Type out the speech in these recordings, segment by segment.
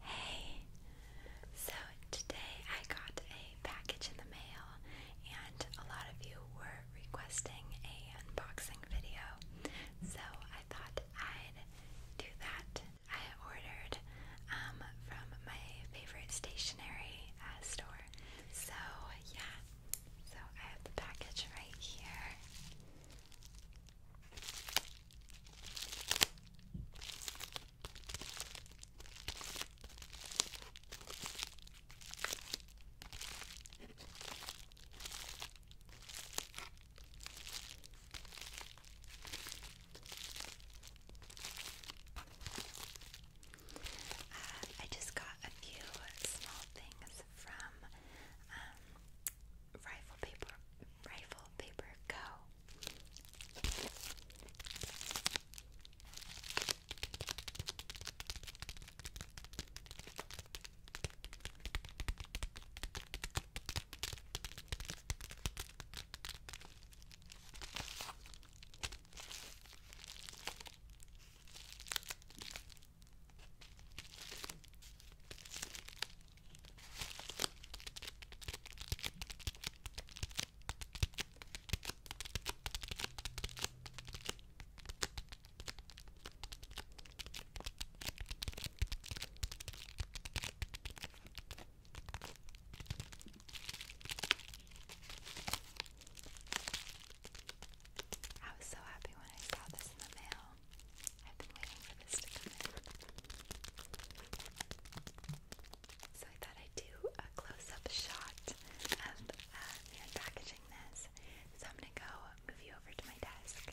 Hey, so today I got a package in the mail, and a lot of you were requesting a unboxing video, so I thought I'd do that. I ordered um, from my favorite stationery uh, store, so yeah. So I have the package right here. Uh, I just got a few small things from um, Rifle paper, rifle paper, go. I was so happy when I saw this in the mail. I've been waiting for this to come in. So I thought I'd do a close-up shot of unpackaging uh, this. So I'm gonna go move you over to my desk.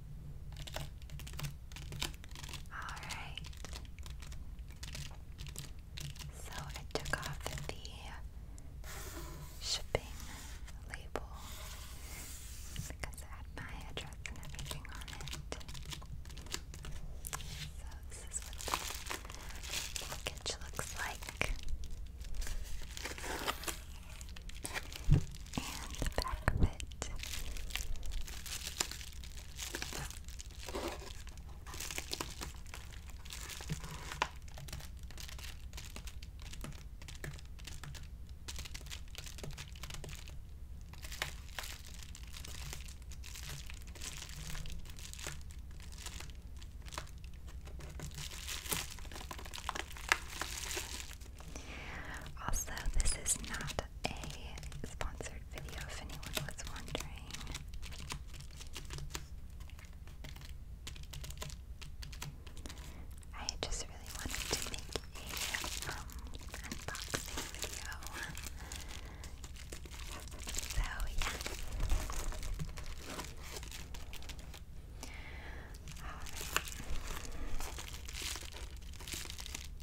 Alright. So I took off the shipping label because it had my address and everything on it. So this is what the looks like and the Also, this is not a sponsored video if anyone was wondering. I just really wanted to make a um, unboxing video. So yeah. Alright. Um,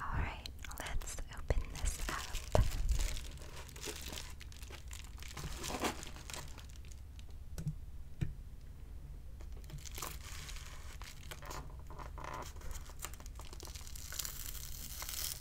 All right, let's open this up.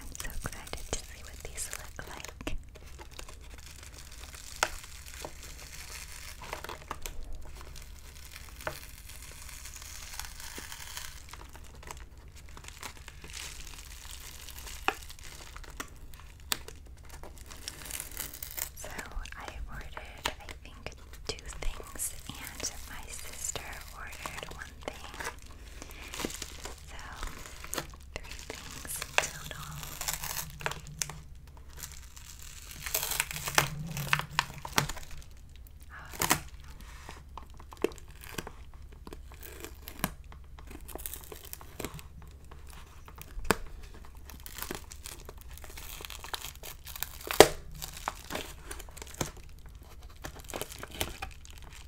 I'm so excited to see what these look like. So I ordered, I think, two things, and my sister ordered one thing. So three things in total. Right.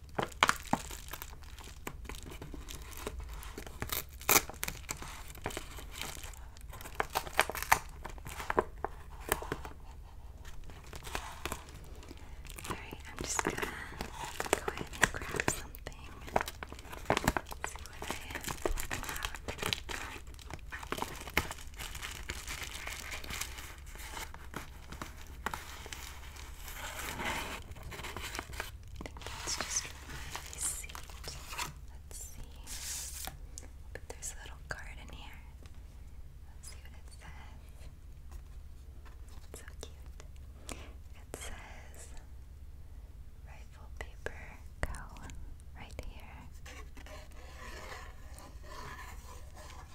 Alright, I'm just gonna go ahead and grab something. Let's see what I have. Pulled out. I think just my Let's see. But there's a little card in here. Let's see what it says. so cute. It says rifle paper go right here. Alright,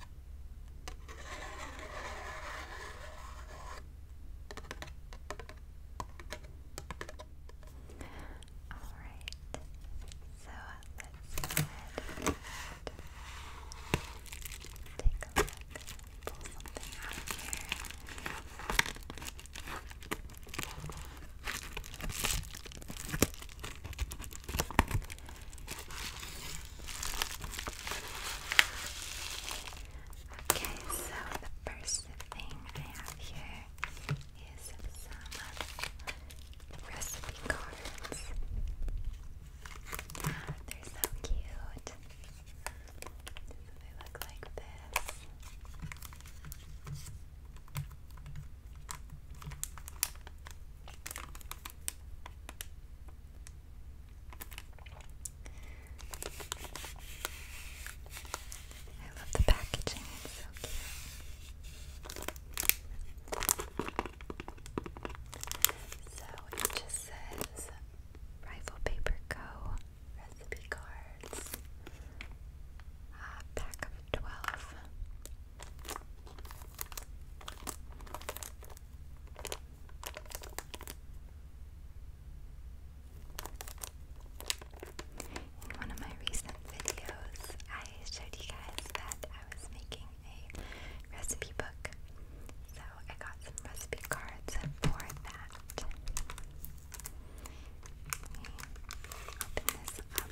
so let's go ahead and take a look. Pull something out of here. Okay, so the first thing I have here is some recipe cards. Ah, they're so cute. they look like this. I love the packaging, so cute. So it just says Rifle Paper Co. Recipe cards. pack of 12. In one of my recent videos, I showed you guys that I was making a recipe book. So I got some recipe cards for that. Let me open this up.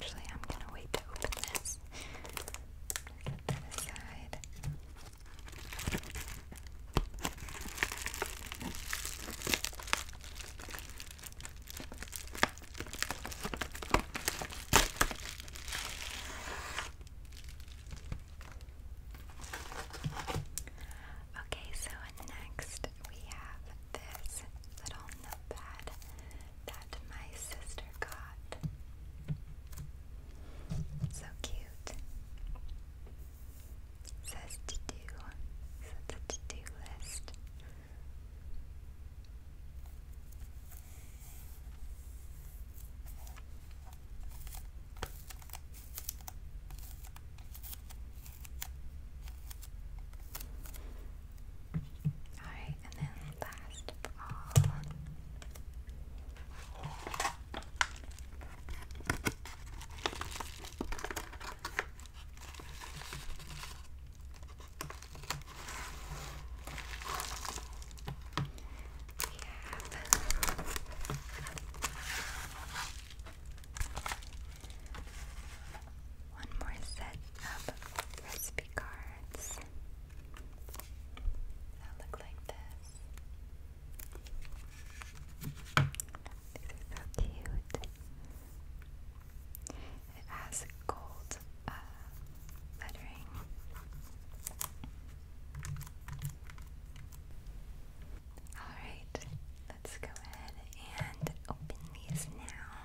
Actually, I'm gonna wait to open this put that aside. Okay, so next we have this little notepad that my sister got. So cute. says to do. So it's to do list. Alright, and then last of all, we have. One more set of recipe cards. I'll look like this. These are so cute. It has gold uh, lettering. Alright, let's go ahead and open these now.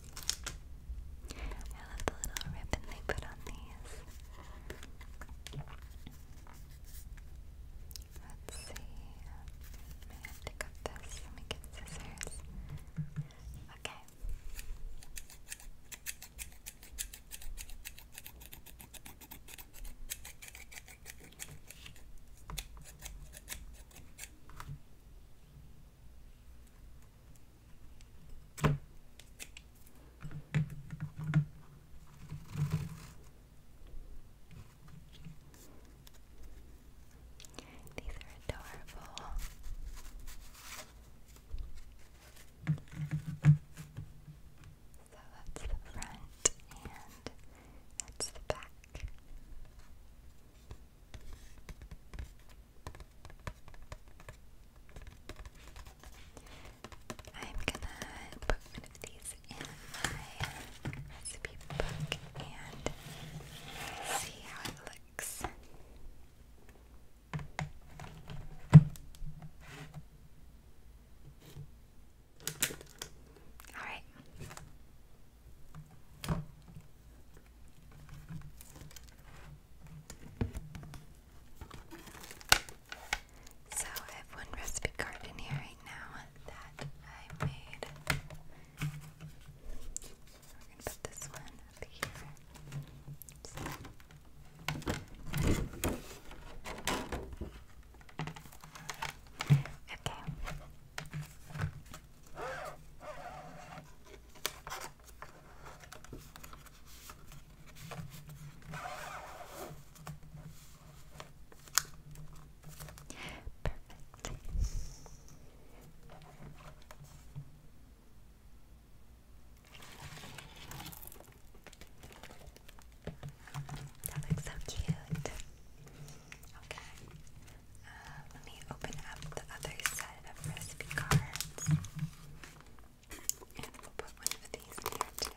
I love the little ribbon they put on these. Let's see. I have to pick this. Let me get scissors. Okay, these are adorable. So that's the front and that's the back. I'm gonna put one of these in my recipe book and see how it looks. Alright. So I have one recipe card in here right now that I made. We're gonna put this one up here. Okay. Perfect. That looks so cute. Okay. Uh, let me open up the other set of recipe cards. And we'll put one of these here too.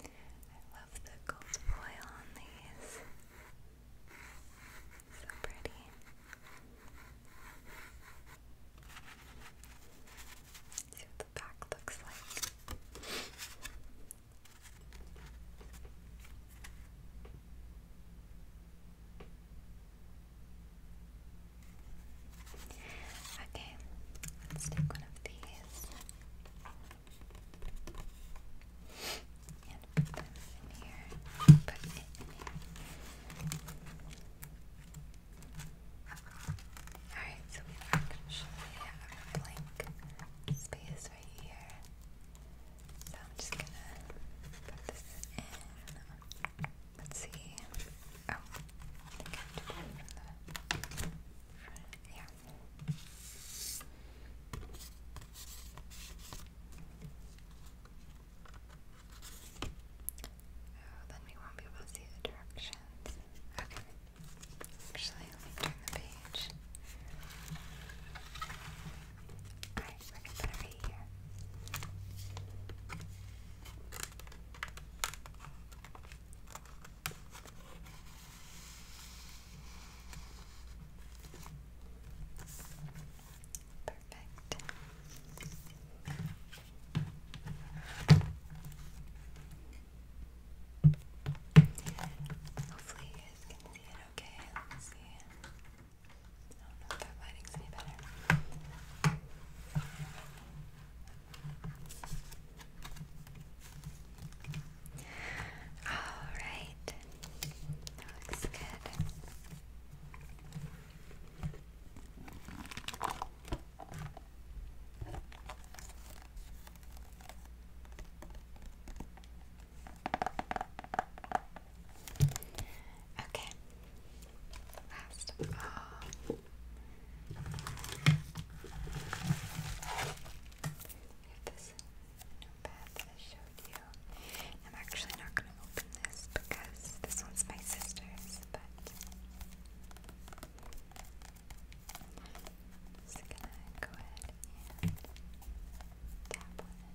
I love the gold foil on these. So pretty. see what the back looks like. Okay, let's take one of these and put them in here. Alright, so we actually have blank space right here. So I'm just gonna put this in. Let's see. Oh, I Yeah. then we won't be able to see the directions. Okay. Actually, let me turn the page. Alright, we're gonna put it here. Perfect. Hopefully you guys can see it okay. Let's see. I don't know if that lighting's any better. All right, that looks good. Okay, last of have I you. am actually not going to open this because this one's my sister's, but just going to go ahead and tap on it.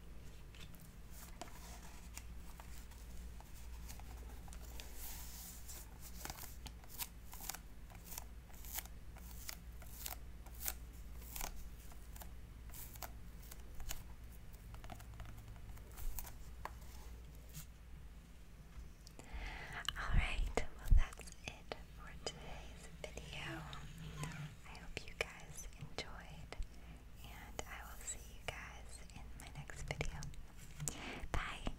Alright, well that's it for today's video. I hope you guys enjoyed, and I will see you guys in my next video. Bye!